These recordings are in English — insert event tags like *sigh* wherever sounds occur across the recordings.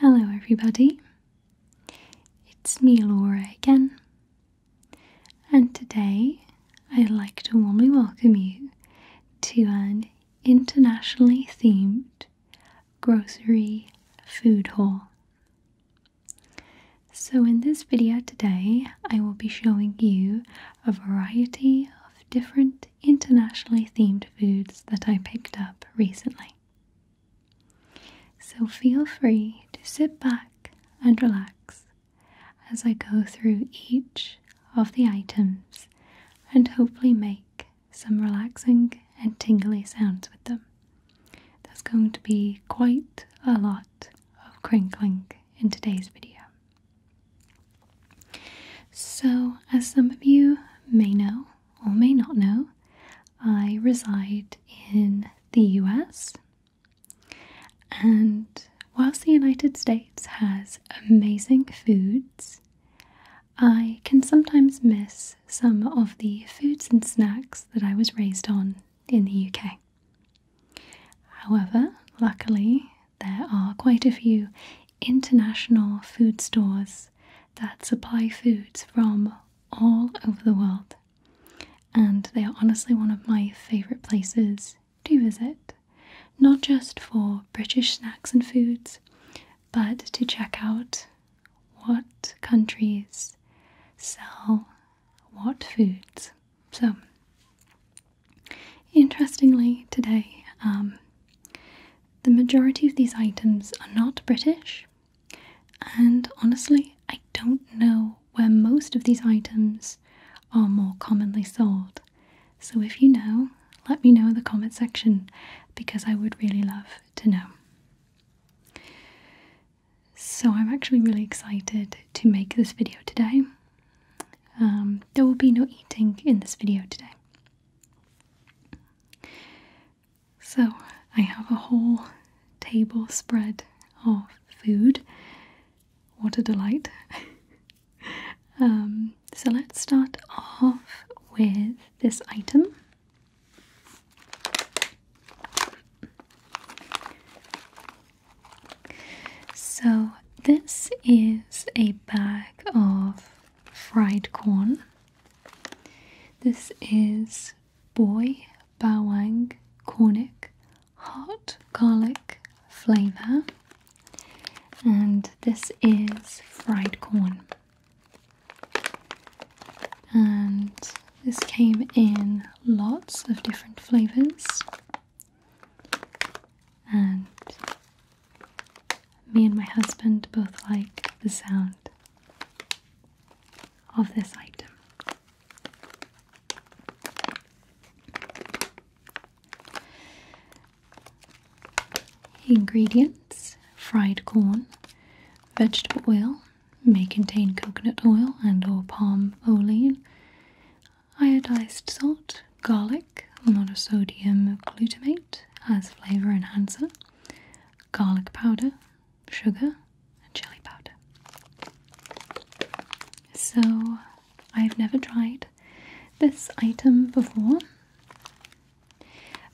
Hello, everybody. It's me, Laura, again, and today I'd like to warmly welcome you to an internationally themed grocery food haul. So, in this video today, I will be showing you a variety of different internationally themed foods that I picked up recently. So feel free to sit back and relax as I go through each of the items and hopefully make some relaxing and tingly sounds with them. There's going to be quite a lot of crinkling in today's video. So, as some of you may know, or may not know, I reside in the US. And whilst the United States has amazing foods, I can sometimes miss some of the foods and snacks that I was raised on in the UK. However, luckily, there are quite a few international food stores that supply foods from all over the world. And they are honestly one of my favourite places to visit, not just for British snacks and foods, but to check out what countries sell what foods. So, interestingly, today um, the majority of these items are not British, and honestly, I don't know where most of these items are more commonly sold. So if you know, let me know in the comment section because I would really love to know. So I'm actually really excited to make this video today. Um, there will be no eating in this video today. So, I have a whole table spread of food. What a delight! *laughs* Um, so, let's start off with this item. So, this is a bag of fried corn. This is Boy Bawang Cornic Hot Garlic Flavour, and this is fried corn. And this came in lots of different flavours, and me and my husband both like the sound of this item. Ingredients fried corn, vegetable oil, may contain coconut oil and or palm olein, iodized salt, garlic, a sodium glutamate as flavor enhancer, garlic powder, sugar, and chili powder. So, I've never tried this item before,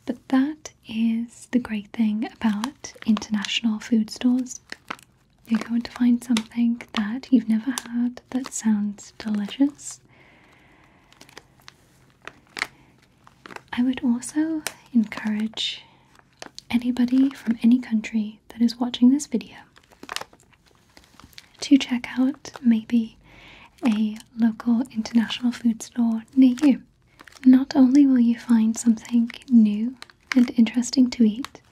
but that is the great thing about international food stores. You're going to find something that you've never had that sounds delicious. I would also encourage anybody from any country that is watching this video to check out maybe a local international food store near you. Not only will you find something new and interesting to eat,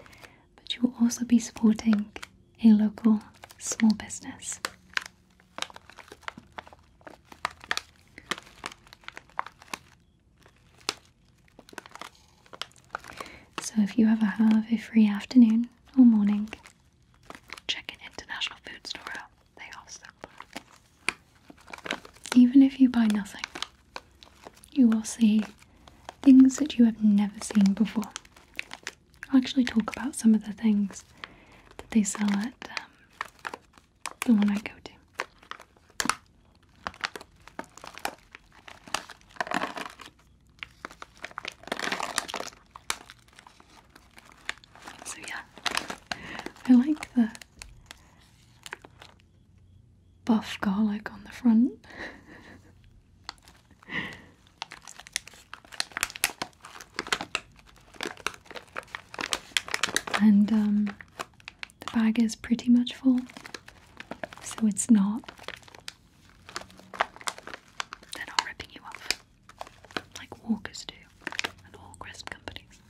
but you will also be supporting a local small business. So, if you ever have a free afternoon or morning, check an international food store out. They are Even if you buy nothing, you will see things that you have never seen before. I'll actually talk about some of the things that they sell at um, the one I go to. So yeah, I like the buff garlic on the front. *laughs* And um, the bag is pretty much full, so it's not. They're not ripping you off like Walkers do and all crisp companies.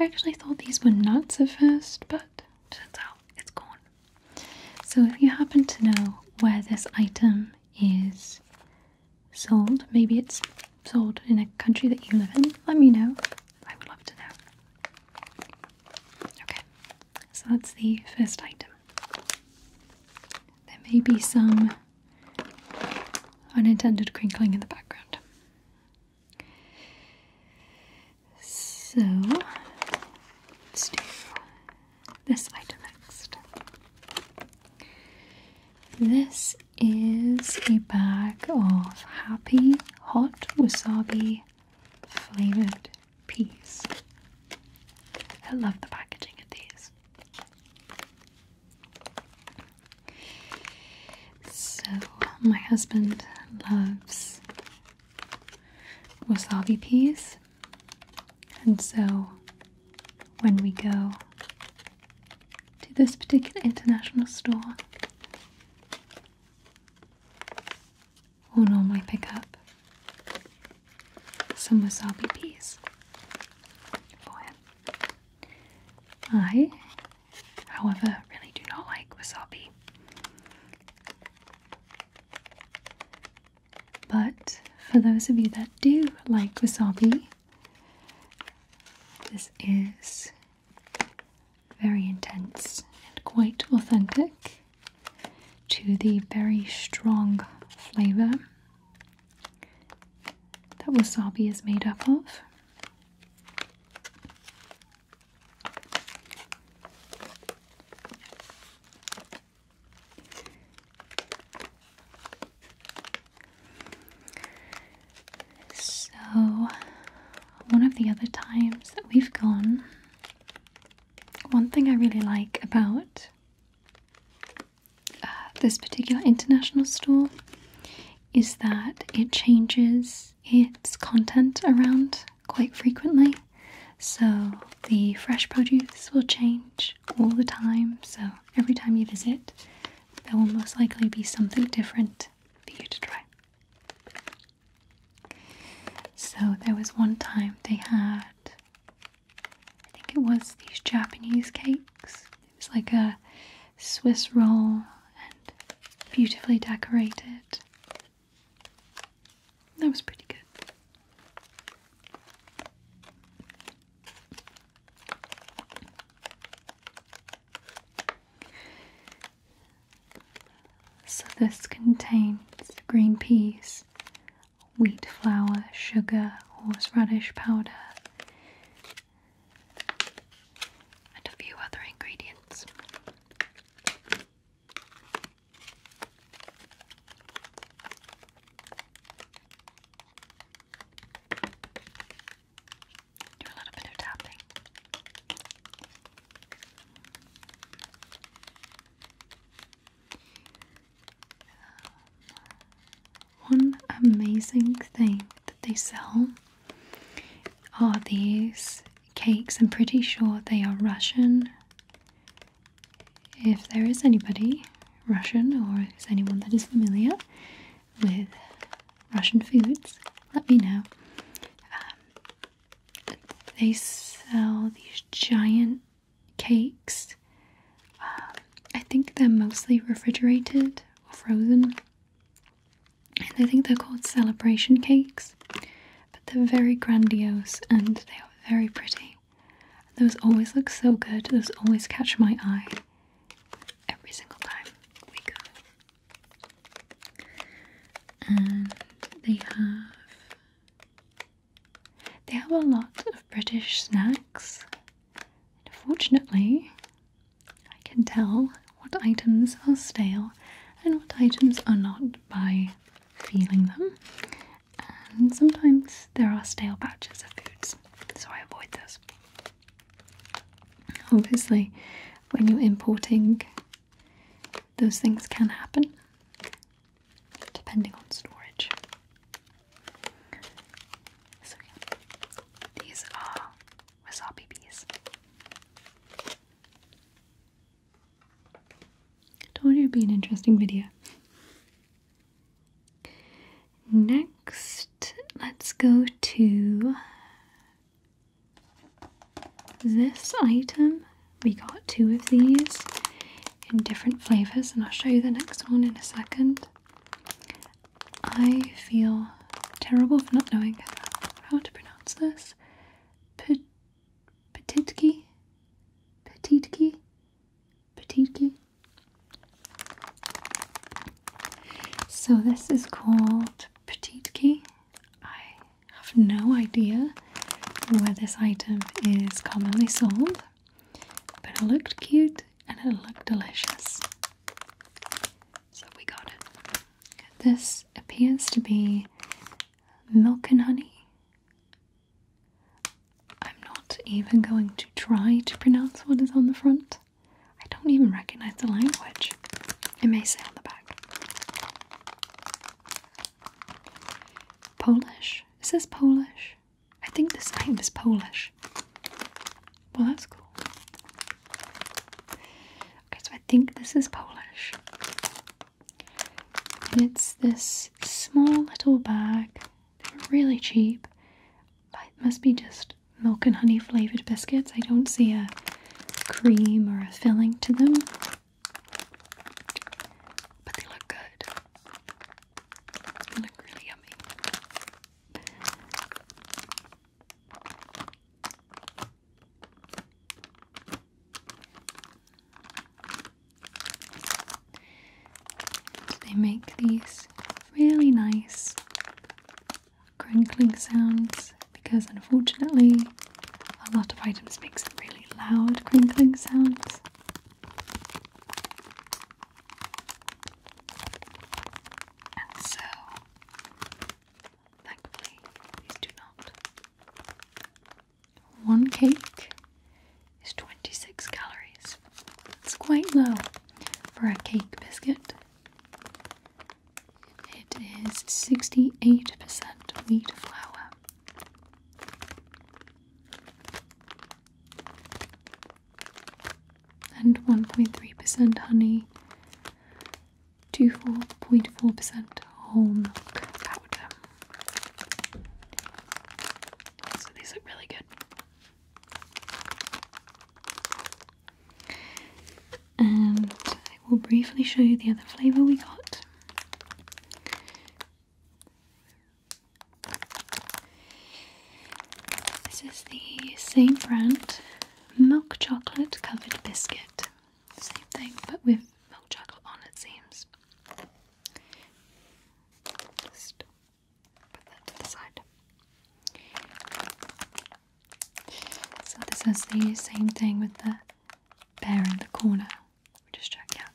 I actually thought these were nuts at first, but turns out it's gone. So, if you happen to know where this item is sold. Maybe it's sold in a country that you live in. Let me know. I would love to know. Okay, so that's the first item. There may be some unintended crinkling in the background. So, let's do this item next. This is a bag of happy hot wasabi flavored peas. I love the packaging of these. So, my husband loves wasabi peas and so, when we go to this particular international store, we'll normally pick up some wasabi peas for him. I, however, really do not like wasabi. But for those of you that do like wasabi, this is very intense and quite authentic to the very strong flavor that wasabi is made up of. So, one of the other times that we've gone, one thing I really like about uh, this particular international store is that it changes its content around quite frequently. So, the fresh produce will change all the time. So, every time you visit, there will most likely be something different for you to try. So, there was one time they had, I think it was these Japanese cakes. It was like a Swiss roll and beautifully decorated. That was pretty good. So, this contains green peas, wheat flour, sugar, horseradish powder, and a few other ingredients. Do a little bit of tapping. One amazing thing that they sell are these cakes. I'm pretty sure they are Russian if there is anybody Russian or is anyone that is familiar with Russian foods, let me know. Um, they sell these giant cakes. Um, I think they're mostly refrigerated or frozen. And I think they're called celebration cakes. But they're very grandiose and they are very pretty. Those always look so good. Those always catch my eye every single time we go. And they have they have a lot of British snacks. fortunately, I can tell what items are stale and what items are not by feeling them and sometimes there are stale batches of foods, so I avoid those. Obviously, when you're importing, those things can happen depending on storage. So, yeah, these are wasabi bees. I told it'd be an interesting video. Next, let's go to this item. We got two of these in different flavors, and I'll show you the next one in a second. I feel terrible for not knowing how to pronounce this. P Petitki? Petitki? Petit Petitki. So this is called Petit Petitki. I have no idea where this item is commonly sold, but it looked cute and it looked delicious. So we got it. This appears to be milk and honey. I'm not even going to try to pronounce what is on the front. I don't even recognize the language. It may say on the back. Polish. It says Polish. I think this name is Polish. Well, that's cool. Okay, so I think this is Polish. And it's this small little bag they are really cheap. It must be just milk and honey flavored biscuits. I don't see a cream or a filling to them. But they look good. They look really yummy they make these really nice crinkling sounds because, unfortunately, a lot of items make some really loud crinkling sounds. And so, thankfully, these do not. One cake is 26 calories. It's quite low for a cake biscuit. It is 68% wheat flour. And 1.3% honey, 2.4% whole milk powder. So these look really good. And I will briefly show you the other flavour we got. This is the same brand milk chocolate covered biscuit. Same thing, but with milk chocolate on it seems. So this is the same thing with the bear in the corner. we just check out.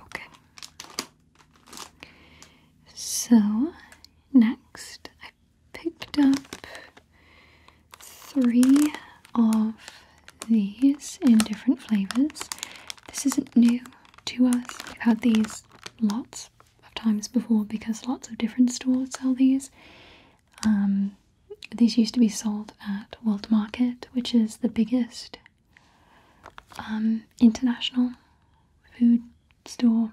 Okay. So, next I picked up three of these in different flavors. This isn't new to us, we've had these lots of times before because lots of different stores sell these. Um, these used to be sold at World Market, which is the biggest um, international food store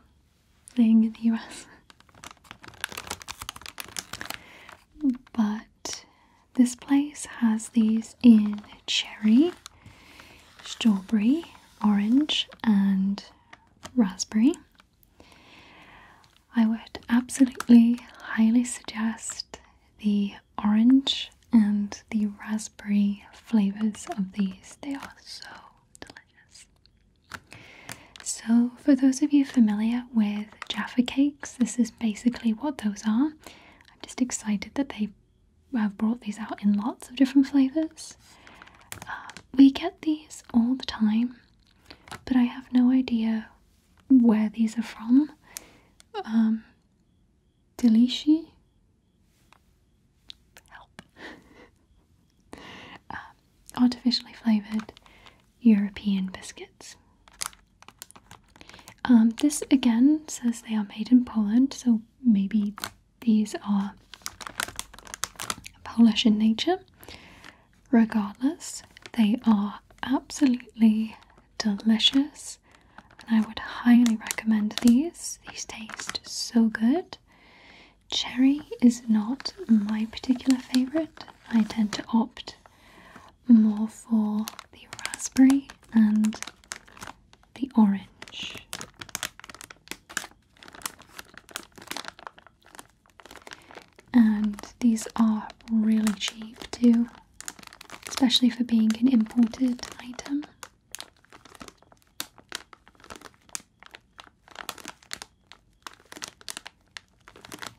thing in the US. but this place has these in cherry, strawberry, orange, and raspberry. I would absolutely highly suggest the orange and the raspberry flavors of these. They are so delicious. So, for those of you familiar with Jaffa cakes, this is basically what those are. I'm just excited that they have brought these out in lots of different flavors. Uh, we get these all the time, but I have no idea where these are from. Um, *laughs* uh, artificially flavoured European biscuits. Um, this again says they are made in Poland, so maybe these are Polish in nature. Regardless, they are absolutely delicious and I would highly recommend these. These taste so good. Cherry is not my particular favourite. I tend to opt more for the raspberry and the orange. And these are really cheap too, especially for being an imported item.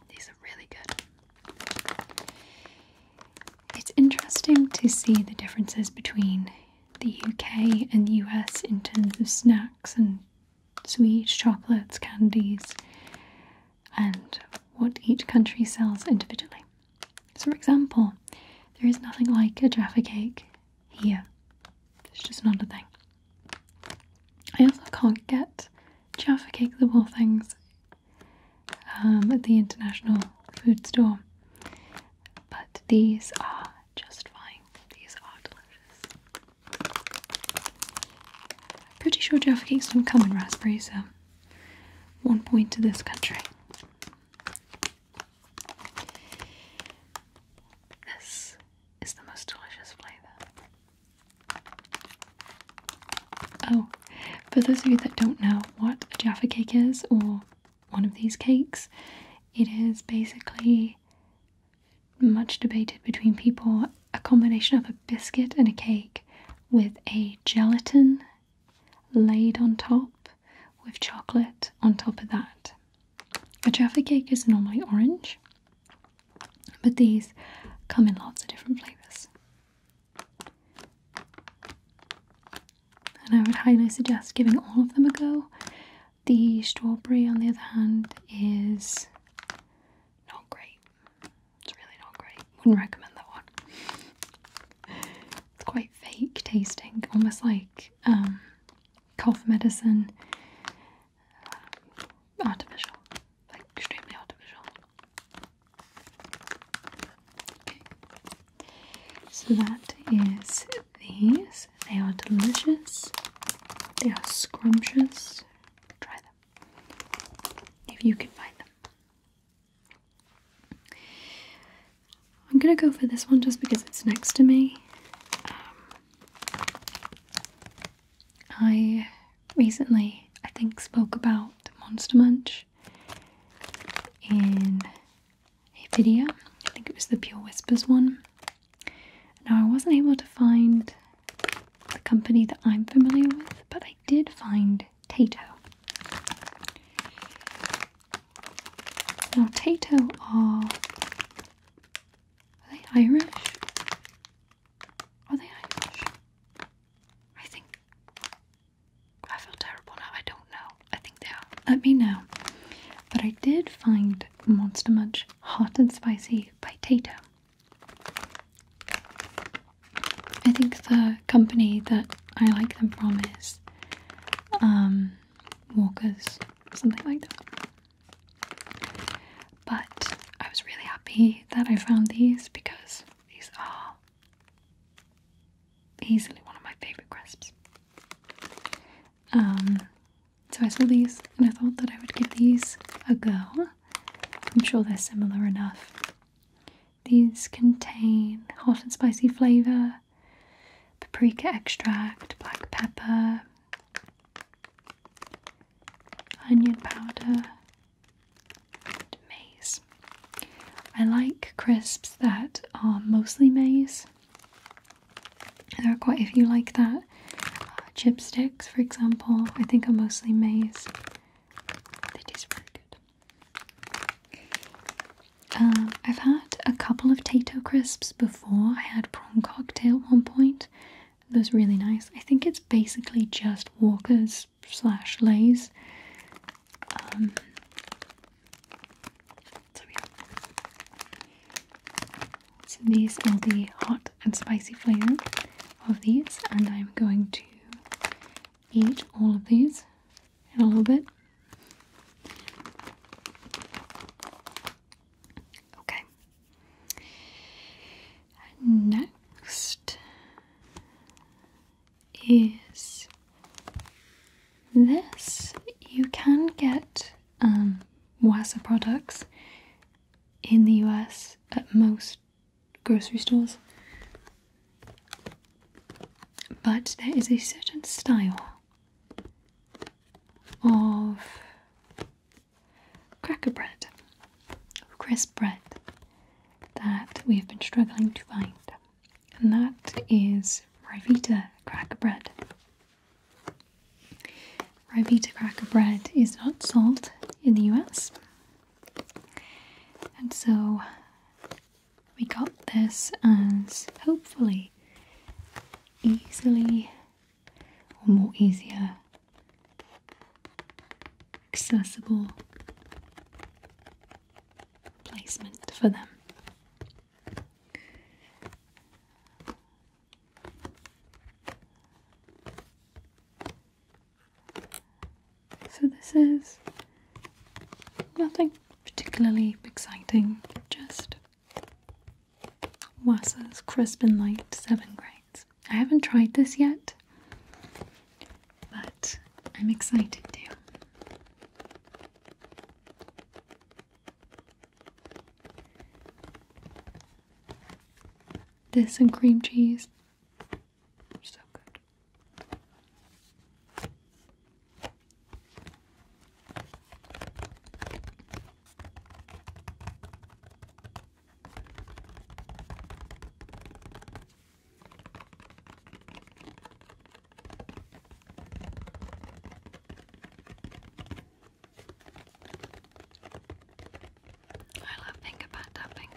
These are really good. It's interesting to see the differences between the UK and the US in terms of snacks and Sweet chocolates, candies, and what each country sells individually. So, for example, there is nothing like a Jaffa cake here, it's just not a thing. I also can't get Jaffa cakes of all things um, at the international food store, but these are just fine. These are delicious. Pretty sure Jaffa cakes don't come in raspberry, so one point to this country. This is the most delicious flavour. Oh, for those of you that don't know what a Jaffa cake is or one of these cakes, it is basically much debated between people a combination of a biscuit and a cake with a gelatin laid on top with chocolate on top of that. A Jaffa cake is normally orange, but these come in lots of different flavours. And I would highly suggest giving all of them a go. The strawberry, on the other hand, is not great. It's really not great. Wouldn't recommend that one. It's quite fake tasting, almost like um, cough medicine. Um, artificial, like extremely artificial. So that is these. They are delicious. They are scrumptious. Try them if you can find them. I'm gonna go for this one just because it's next to me. Um, I recently, I think, spoke about Monster Munch in a video. I think it was the Pure Whispers one. Now, I wasn't able to find the company that I'm familiar with, but I did find Tato. Now, Tato are. Are they Irish? Are they Irish? I think. I feel terrible now. I don't know. I think they are. Let me know. But I did find Monster Munch Hot and Spicy by Tato. I think the company that I like them from is um, Walkers, something like that. But I was really happy that I found these because these are easily one of my favourite crisps. Um, so I saw these and I thought that I would give these a go. I'm sure they're similar enough. These contain hot and spicy flavour, paprika extract, black pepper, onion powder, and maize. I like crisps that are mostly maize. There are quite a few like that. Uh, chipsticks, for example, I think are mostly maize. They taste very good. Um, I've had a couple of Tato crisps before. I had prawn cocktail at one point. Those really nice. I think it's basically just Walkers slash Lays. Um, so these are the hot and spicy flavour of these, and I'm going to eat all of these in a little bit. Okay. Next is this. You can get um, products in the US at most grocery stores. But there is a certain style of cracker bread, crisp bread, that we have been struggling to find, and that is Rivita cracker bread. Rivita cracker bread is not sold in the US. And so we got this as hopefully easily or more easier accessible placement for them. So, this is nothing particularly exciting, just Wassa's Crisp and Light 7 Grains. I haven't tried this yet, but I'm excited to. This and cream cheese. So good. I love finger pad tapping.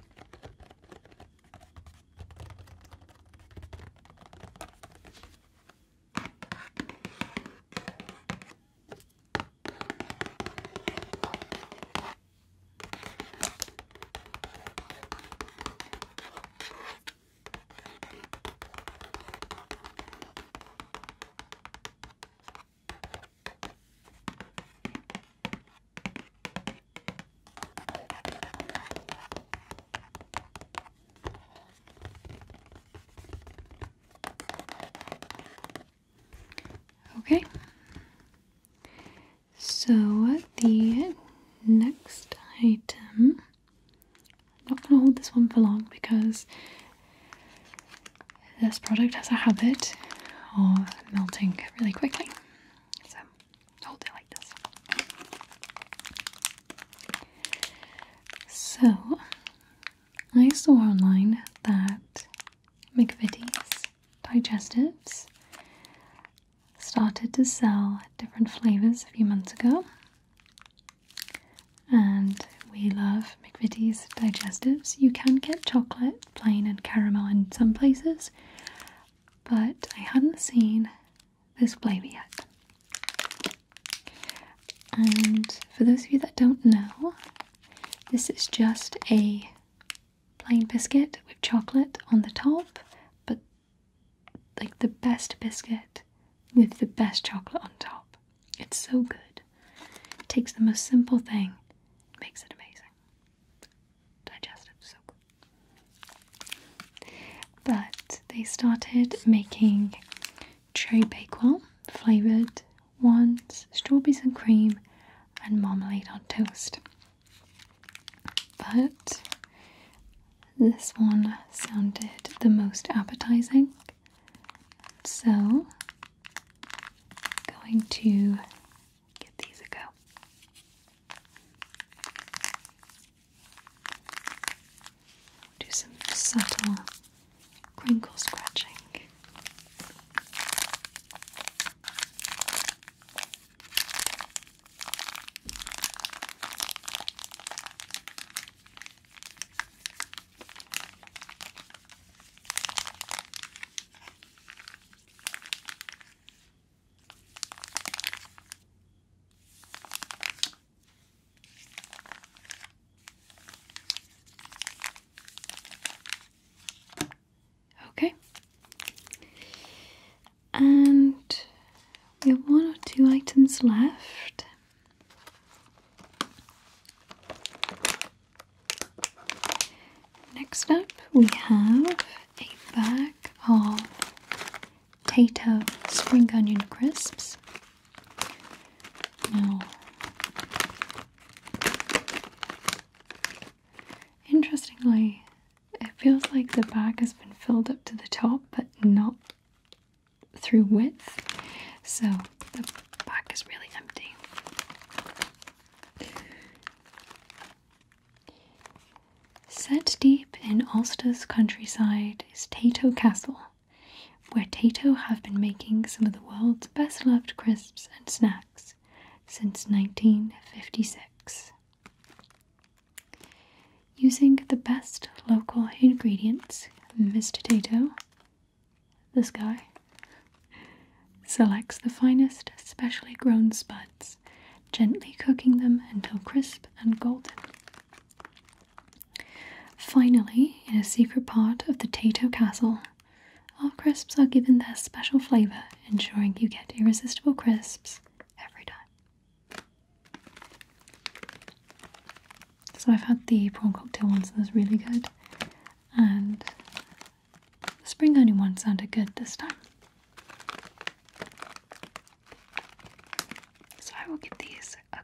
Okay, so the next item, I'm not going to hold this one for long because this product has a habit of melting really quickly. So hold it like this. So I saw online that McVitie's digestives started to sell different flavors a few months ago and we love McVitie's digestives. You can get chocolate, plain, and caramel in some places, but I hadn't seen this flavor yet. And for those of you that don't know, this is just a plain biscuit with chocolate on the top, but like the best biscuit with the best chocolate on top. It's so good. It takes the most simple thing, makes it amazing. Digestive, so good. But they started making cherry bakewell flavored ones, strawberries and cream, and marmalade on toast. But this one sounded the most appetizing. So going to give these a go. Do some subtle crinkle scratching. Okay. And we have one or two items left. Next up, we have a bag of Tato spring onion crisps. Now, interestingly, it feels like the bag has been filled up to the top, but not through width. So the back is really empty. Set deep in Ulster's countryside is Tato Castle, where Tato have been making some of the world's best loved crisps and snacks since 1956. Using the best local ingredients, Mr. Tato this guy selects the finest specially grown spuds, gently cooking them until crisp and golden. Finally, in a secret part of the Tato Castle, our crisps are given their special flavour, ensuring you get irresistible crisps every time. So I've had the prawn cocktail ones, and that's really good and the spring onion one sounded good this time. So I will give these a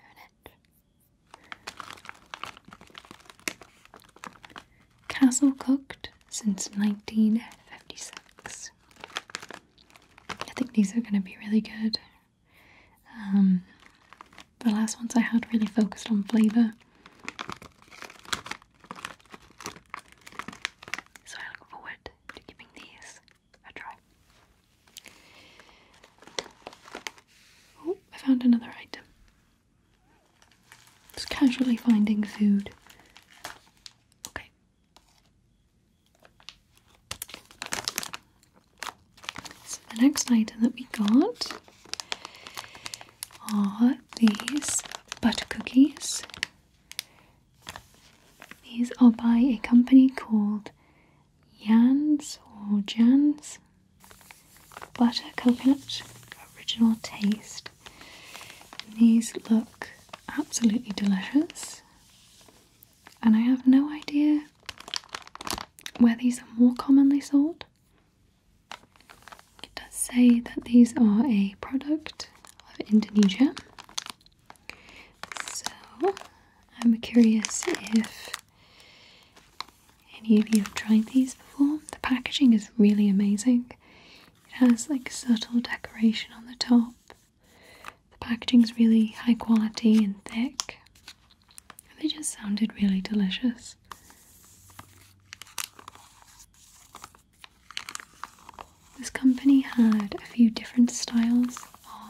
Earn it. Castle cooked since 1956. I think these are going to be really good. Um, the last ones I had really focused on flavour. So I look forward to giving these a try. Oh, I found another item. Just casually finding food. Okay. So the next item that we got are these butter cookies. These are by a company called Yans or Jans butter coconut original taste. And these look absolutely delicious, and I have no idea where these are more commonly sold. It does say that these are a product of Indonesia. So I'm curious if any of you have tried these before. The packaging is really amazing. It has like subtle decoration on the top. The packaging is really high quality and thick. They just sounded really delicious. This company had a few different styles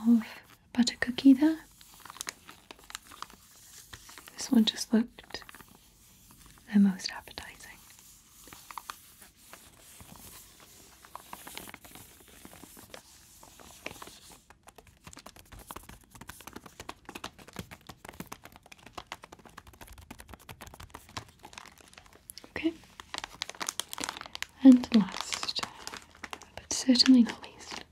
of butter cookie there. This one just looked the most appetizing. Okay, and last, but certainly not least,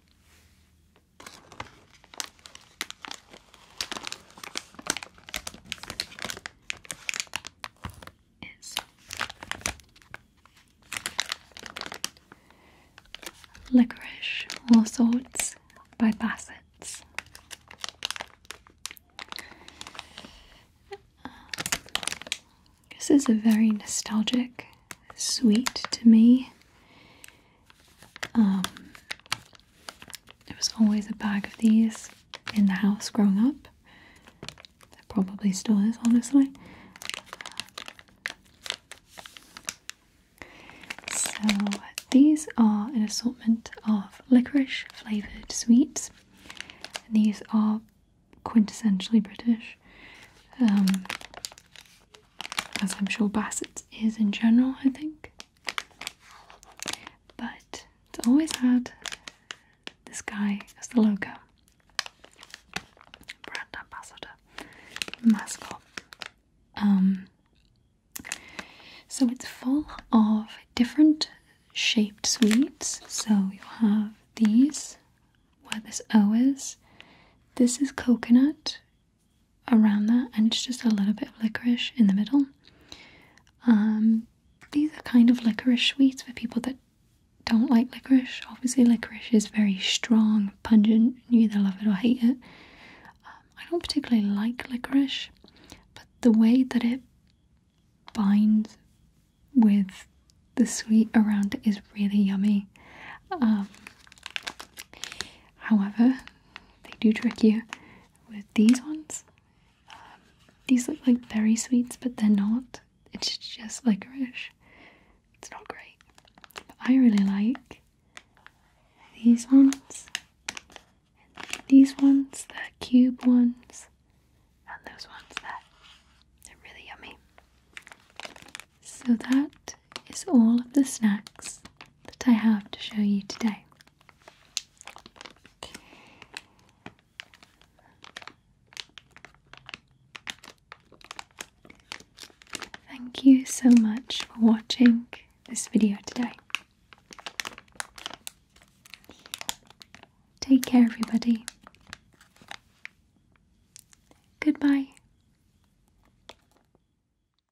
Licorice All Sorts by Bassett's. this is a very nostalgic sweet to me. Um, there was always a bag of these in the house growing up. There probably still is, honestly. So, these are an assortment of licorice flavoured sweets. And these are quintessentially British, um, as I'm sure Bassett is in general, I think. But it's always had this guy as the logo. Brand ambassador. Mascot. Um, so it's full of different shaped sweets. So you have these where this O is. This is coconut around that, and it's just a little bit of licorice in the middle. Um, these are kind of licorice sweets for people that don't like licorice. Obviously, licorice is very strong, pungent. You either love it or hate it. Um, I don't particularly like licorice, but the way that it binds with the sweet around it is really yummy. Um, However, they do trick you with these ones. Um, these look like berry sweets, but they're not. It's just licorice. It's not great. But I really like these ones. these ones, the cube ones, and those ones that they're really yummy. So that is all of the snacks that I have to show you today. Thank you so much for watching this video today. Take care, everybody. Goodbye.